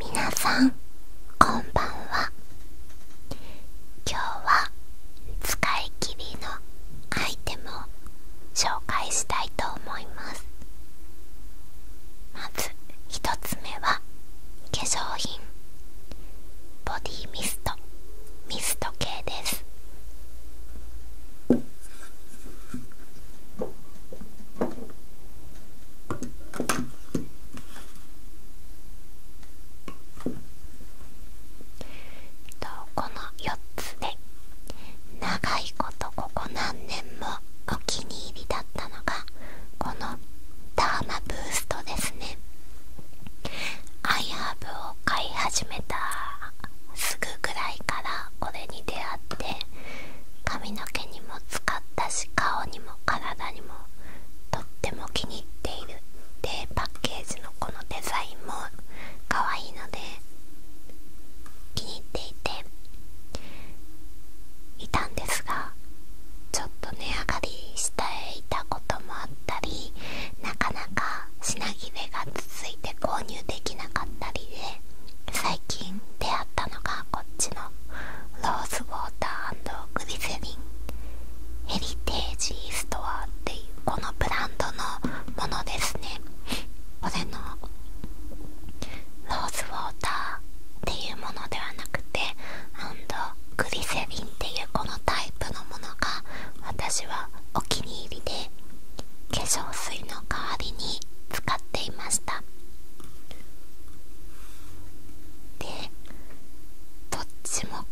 皆さんこんばんは今日は使い切りのアイテムを紹介したいと思いますまず1つ目は化粧品ボディミストミスト系ですとこの4つで長いことここ何年もお気に入りだったのがこのダーマブーストですねアイハーブを買い始めたすぐぐらいからこれに出会って髪の毛にも使ったし顔にも体にもとっても気に入っているでパッケージのこのデザインも可愛いので気に入っていていたんですがちょっと値上がりしていたこともあったりなかなか品切れが続いて購入できなかったりで最近出会ったのがこっちのローズウォーターグリセリンヘリテージストアっていうこのブランドのものですねこれのローズウォーターていうものではなくてグリセリンっていうこのタイプのものが私はお気に入りで化粧水の代わりに使っていましたでどっちも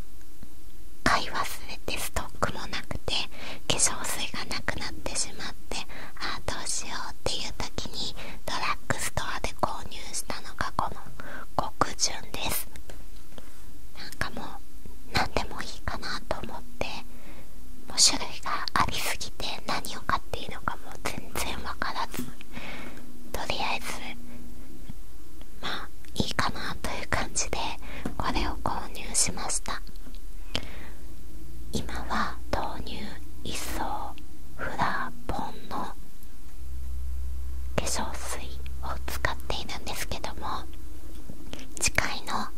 買い忘れてストックもなくて化粧水がなくなってしまってああどうしようっていう時にドラッグストアで購入したのがこの極潤ですなんかもう何でもいいかなと思ってもう種類がありすぎて何を買っていいのかも全然分からずとりあえずまあいいかなという感じでこれを購入しました今は豆乳一層フラポンの化粧水を使っているんですけども近いのア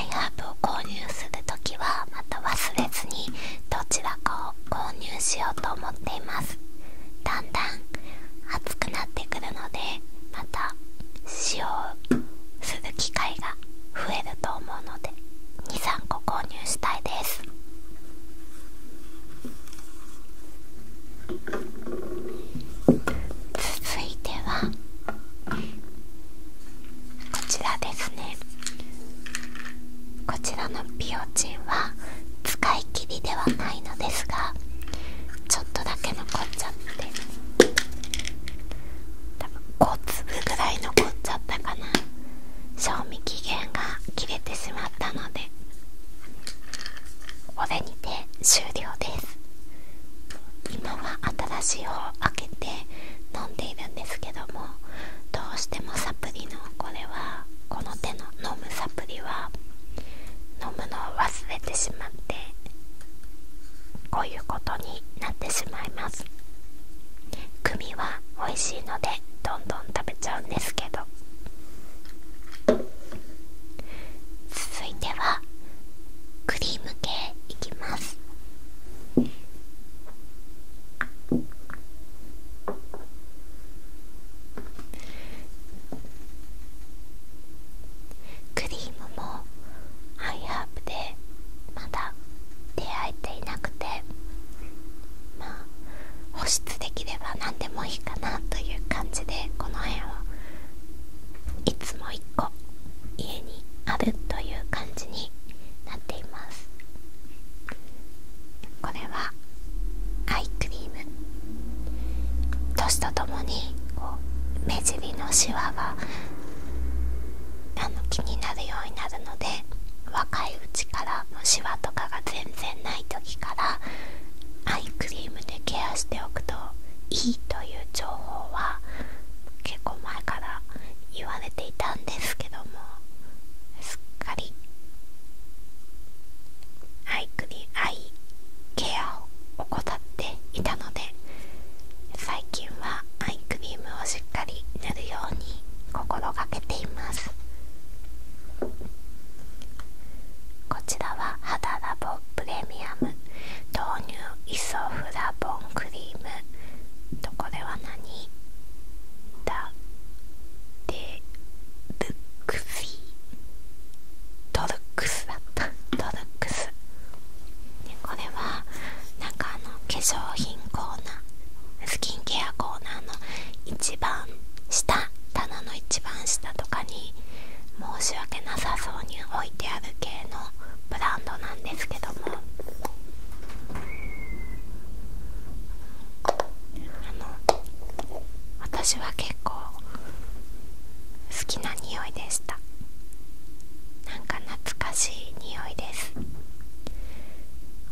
イハーブを購入するときはまた忘れずにどちらかを購入しようと思っていますだんだん暑くなってくるのでまた使用する機会が増えると思うので23個購入したいです続いてはこちらですねこちらのピオチンは使い切りではないのですがちょっとだけ残っちゃって多分5粒ぐらい残っちゃったかな賞味期限が切れてしまったのでこれにて終了です今は新しい方を開けて飲んでいるんですけどもどうしてもサプリのこれはこの手の飲むサプリは飲むのを忘れてしまってこういうことになってしまいます組は美味しいのでどんどん食べちゃうんですけど続いてはクリーム系いきますクリームもハイハーブでまだ出会えていなくてまあ保湿できれば何でもいいかなという感じでこの辺は？いつも1個家にあるという感じになっていますこれはアイクリーム年とともにこう目尻のシワがあの気になるようになるので若いうちからはもとかが全然ない時からアイクリームでケアしておくといいという情報は結構前から言われていたんですけどもすっかりアイクリアイケアを怠っていたので最近はアイクリームをしっかり塗るように心がけていますこちらは肌ラボプレミアム豆乳イソフラボンクリームとこれは何だでルックスイトルックスだったトルックスこれはなかあの化粧品コーナースキンケアコーナーの一番下棚の一番下とかに申し訳なさそうに置いてある系のブランドなんですけどもあの私は結構好きな匂いでしたなんか懐かしい匂いです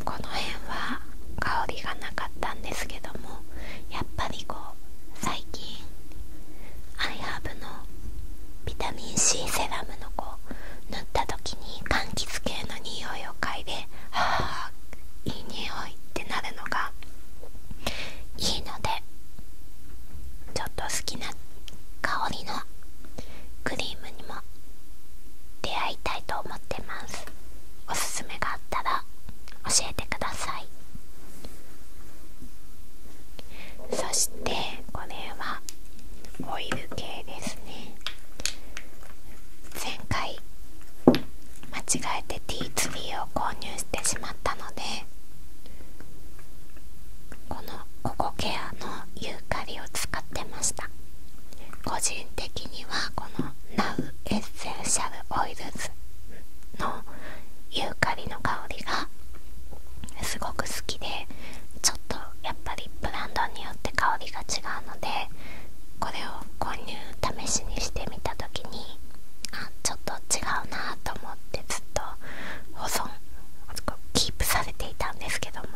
この辺は香りがなかったんですけどもやっぱりこう最近アイハーブのビタミン C セラムのこ塗った時に柑橘系の匂いを嗅いで「ああいい匂い」ってなるのがいいのでちょっと好きな香りのクリームにも出会いたいと思ってますおすすめがあったら教えてくださいそしてこれはオイル系ですね前回間違えてテ2ーを購入してしまったのでこのココケアのユーカリを使ってました個人的にはこの NOW エッセンシャルオイルズのユーカリの香りがすごく好きでちょっとやっぱりブランドによって香りが違うのでこれを購入試しにしてみた時にあちょっと違うなと思ってずっと保存されていたんですけども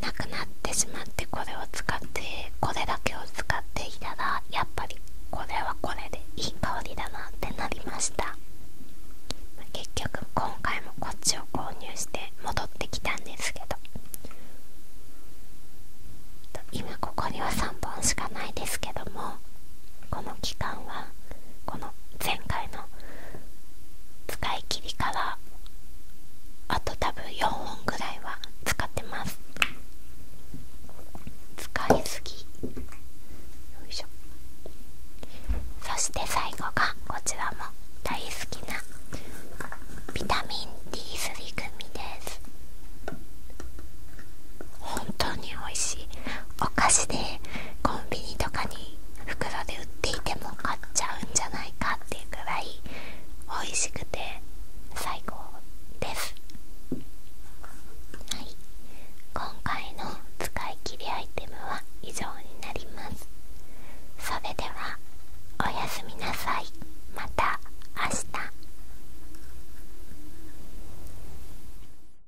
なくなってしまってこれを使ってこれだけを使っていたらやっぱりこれはこれでいい香りだなってなりました結局今回もこっちを購入して戻ってきたんですけど今ここには3本しかないですけどもこの期間はこの前回の使い切りからあと多分4本ぐらいは使ってます使いすぎよいしょそして最後がこちらも大好きなビタミン D3 組です本当に美味しいお菓子でコンビニとかに袋で売っていても買っちゃうんじゃないかっていうくらい美味しくて最高ですはい今回の使い切りアイテムは以上になりますそれではおやすみなさいまた明日